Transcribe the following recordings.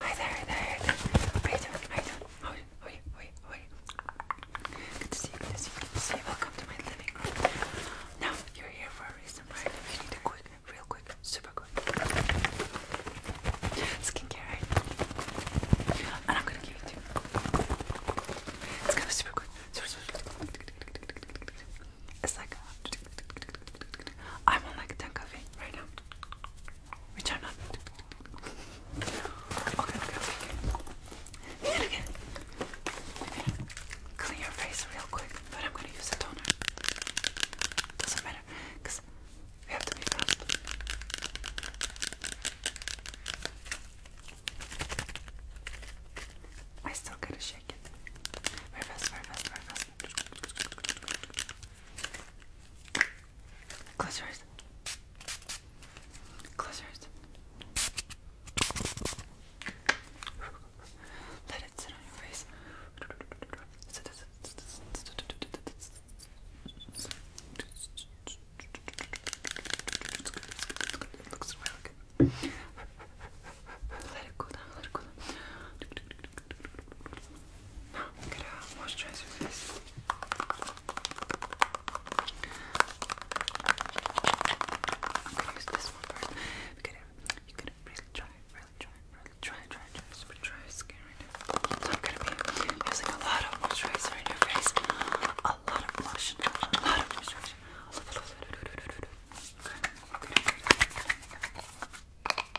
Hi there, hi there, hi there. How you How are you? How are you? How are you? Good to see you, good to see you, Welcome to my living room. Now, you're here for a reason, right? You need a quick, real quick, super quick skincare, right? And I'm gonna give it to you. It's gonna be super quick. Super, super quick. It's like, I'm on like 10 coffee right now. Which i Okay, okay, okay. okay. I'm clean your face real quick, but I'm gonna use a toner. Doesn't matter, because we have to be fast. I still gotta shake it. Very fast, very fast, very fast. Close your eyes. Close your eyes. Let it sit on your face. It looks really good. Let it go down, let it go down. Now I'm gonna moisturize your face. I'm gonna use this one first. You get it? You get it really dry, really dry, really dry, dry, dry, super dry skin right now. So I'm gonna be using a lot of moisturizer in your face. A lot of lotion, a lot of moisturizer. Okay, okay, okay, okay.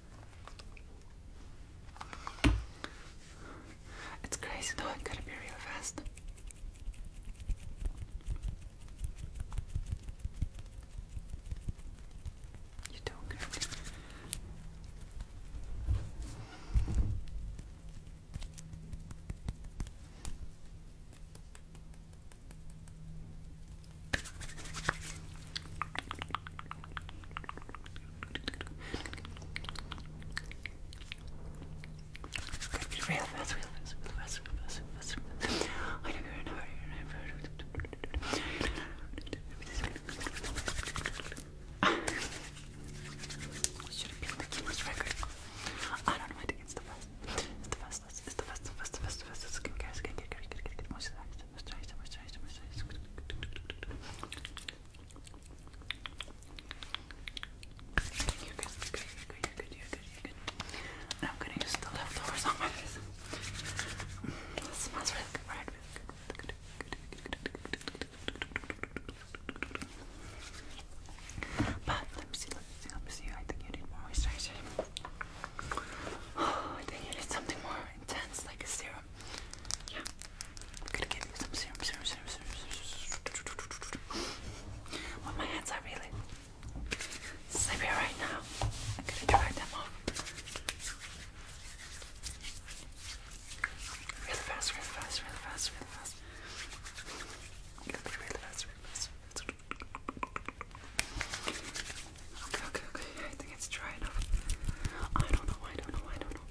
It's crazy though, it gotta be real fast. You do good. Okay, real fast, real fast, real fast, real fast, real fast, real fast. I know you're record. I don't know, I think it's the best. It's the best, it's the best, the best, the best, the best. Skin care, skin care, moisturize, moisturize, moisturize, moisturize. I'm gonna use the leftovers on my face. smells really good, right? But let me see, let me see, let me see. I think you need more moisturizer. I think you need something more intense, like a serum yeah, I'm gonna give you some serum, serum, my hands are really sleepy right now. I'm gonna dry them off really fast, really fast, really fast, really fast. Really fast, really fast. Okay, okay, okay. I think it's dry enough. I don't know. I don't know. I don't know.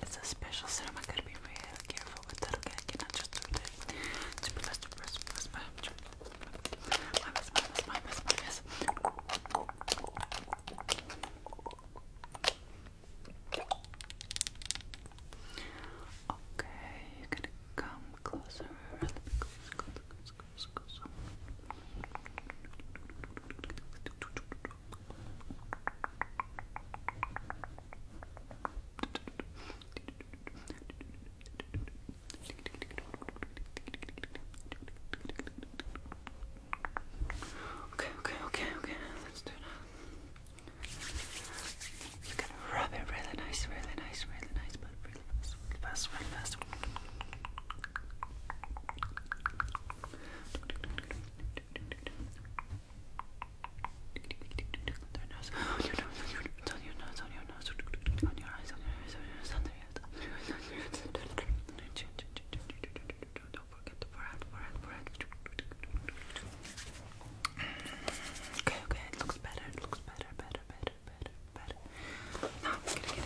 It's a special serum. I gotta be really careful with that. Okay, I cannot just do this. Okay, you're gonna come closer. Close, close, close, Okay, okay, okay, okay. Let's do that. You can rub it really nice, really nice, really nice, but one, last one, last your nose, on your nose, on your nose, on your nose, on your eyes, on your eyes, on your eyes, on your eyes, on your eyes. Don't forget the forehead, forehead, forehead. Okay, okay, looks better, looks better, better, better, better, I'm oh, going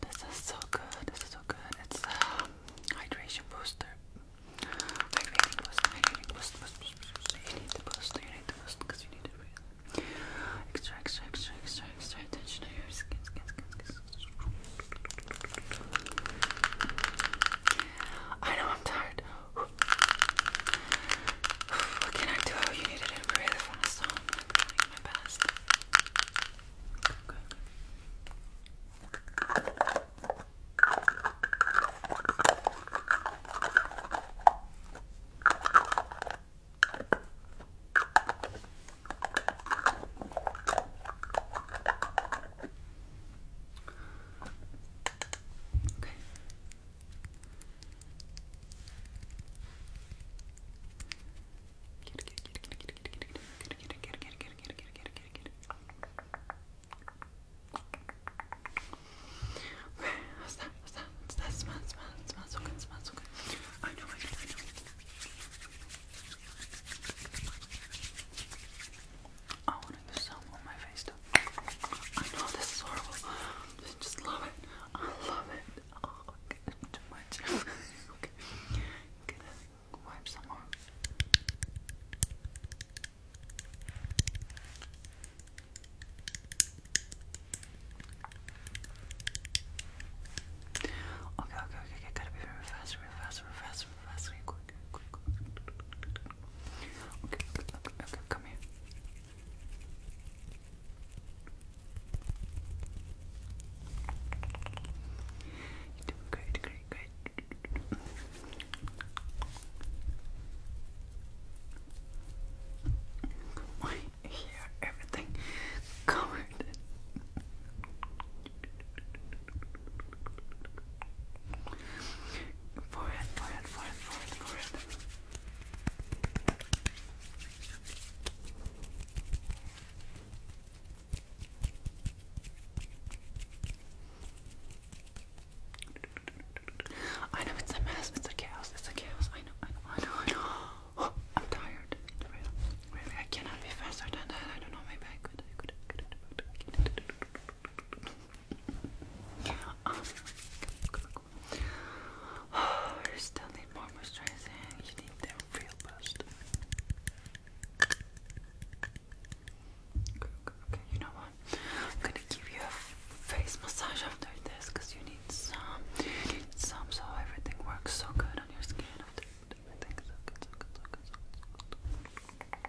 This is so good. This is so good. It's hydration booster. Hydrating boost. Hydrating boost. Boost. Boost. boost. You need the boost. You need the boost because you need it really. Extra, extra, extra, extra, extra attention to your skin, skin, skin, skin. I know I'm tired. What can I do? Oh, you needed it really fast, so oh, I'm doing my best. Okay. What's oh, that? What's that? What's that? Smell, smell, smell so good, smell so good. I know, I know, I know. I want to do some on my face too. I know this is horrible. I just love it. I love it. too much. okay, gonna wipe some more. Okay, okay, okay, okay, gotta be very fast, very fast, very fast, very fast, very quick, quick, quick. okay, okay, come here you doing great, great, great. My hair, everything covered. Forehead, forehead, forehead, forehead, forehead. I know it's a mess, it's a chaos, it's a chaos. I know, I know, I know, I know. I'm tired. I cannot be faster than that. I don't know, my I could. I could, I oh you still need more moisturizing. You need the real boost. Okay, you know what? I'm gonna give you a face massage after this because you need some. some, so everything works so good on your skin. After everything so good, so good, so good, so good. So good.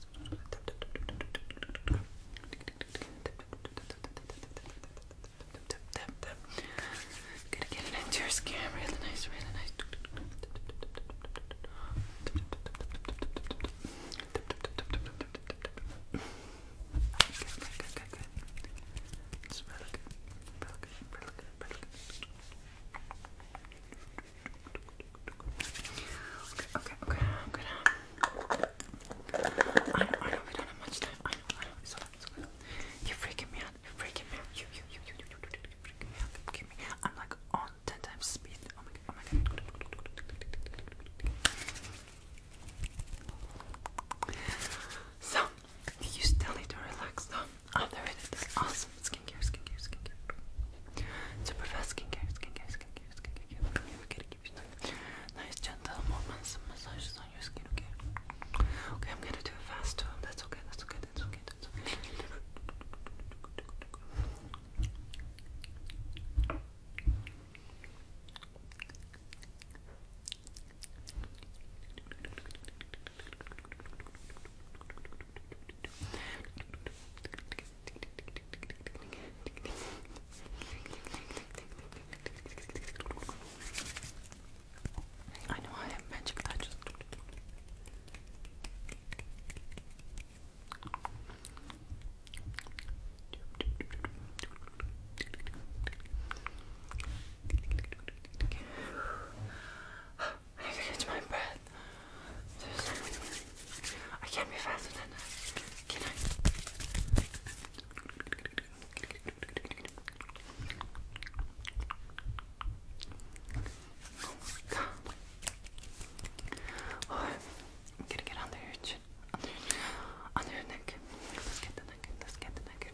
Gonna get it into your skin really nice, really nice. Good, good, good, good. It's really good, really good, really good, really good. Okay, okay, okay. I'm gonna. I know, I know, we don't have much time. I know, I know. It's alright, it's alright. You're freaking me out. You're freaking me out. You, you, you, you, you, you, you, you're freaking me out. Give me. I'm like on ten times speed. Oh my god, oh my god. So, you still need to relax though. I'll do it. I'll some skincare, skincare, skincare. Super fast skincare, skincare, skincare, skincare. We're gonna give you some nice gentle movements and massages on your skin, okay? Okay, I'm gonna do it fast too. That's okay, that's okay, that's okay, that's okay. I know I have magic touches. I catch my breath. I can't be faster than that. Can I? Oh oh, I'm gonna get under your chin. Under your, under Let's get the neck. Let's get the neck.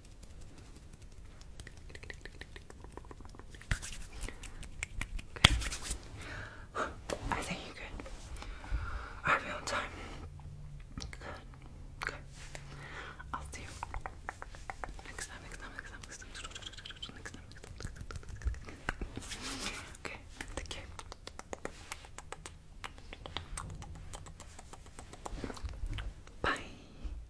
Okay. I think you're good. Are we on time? Good. Okay. I'll see you next time, next time, next time, next time, Okay, take care. Bye.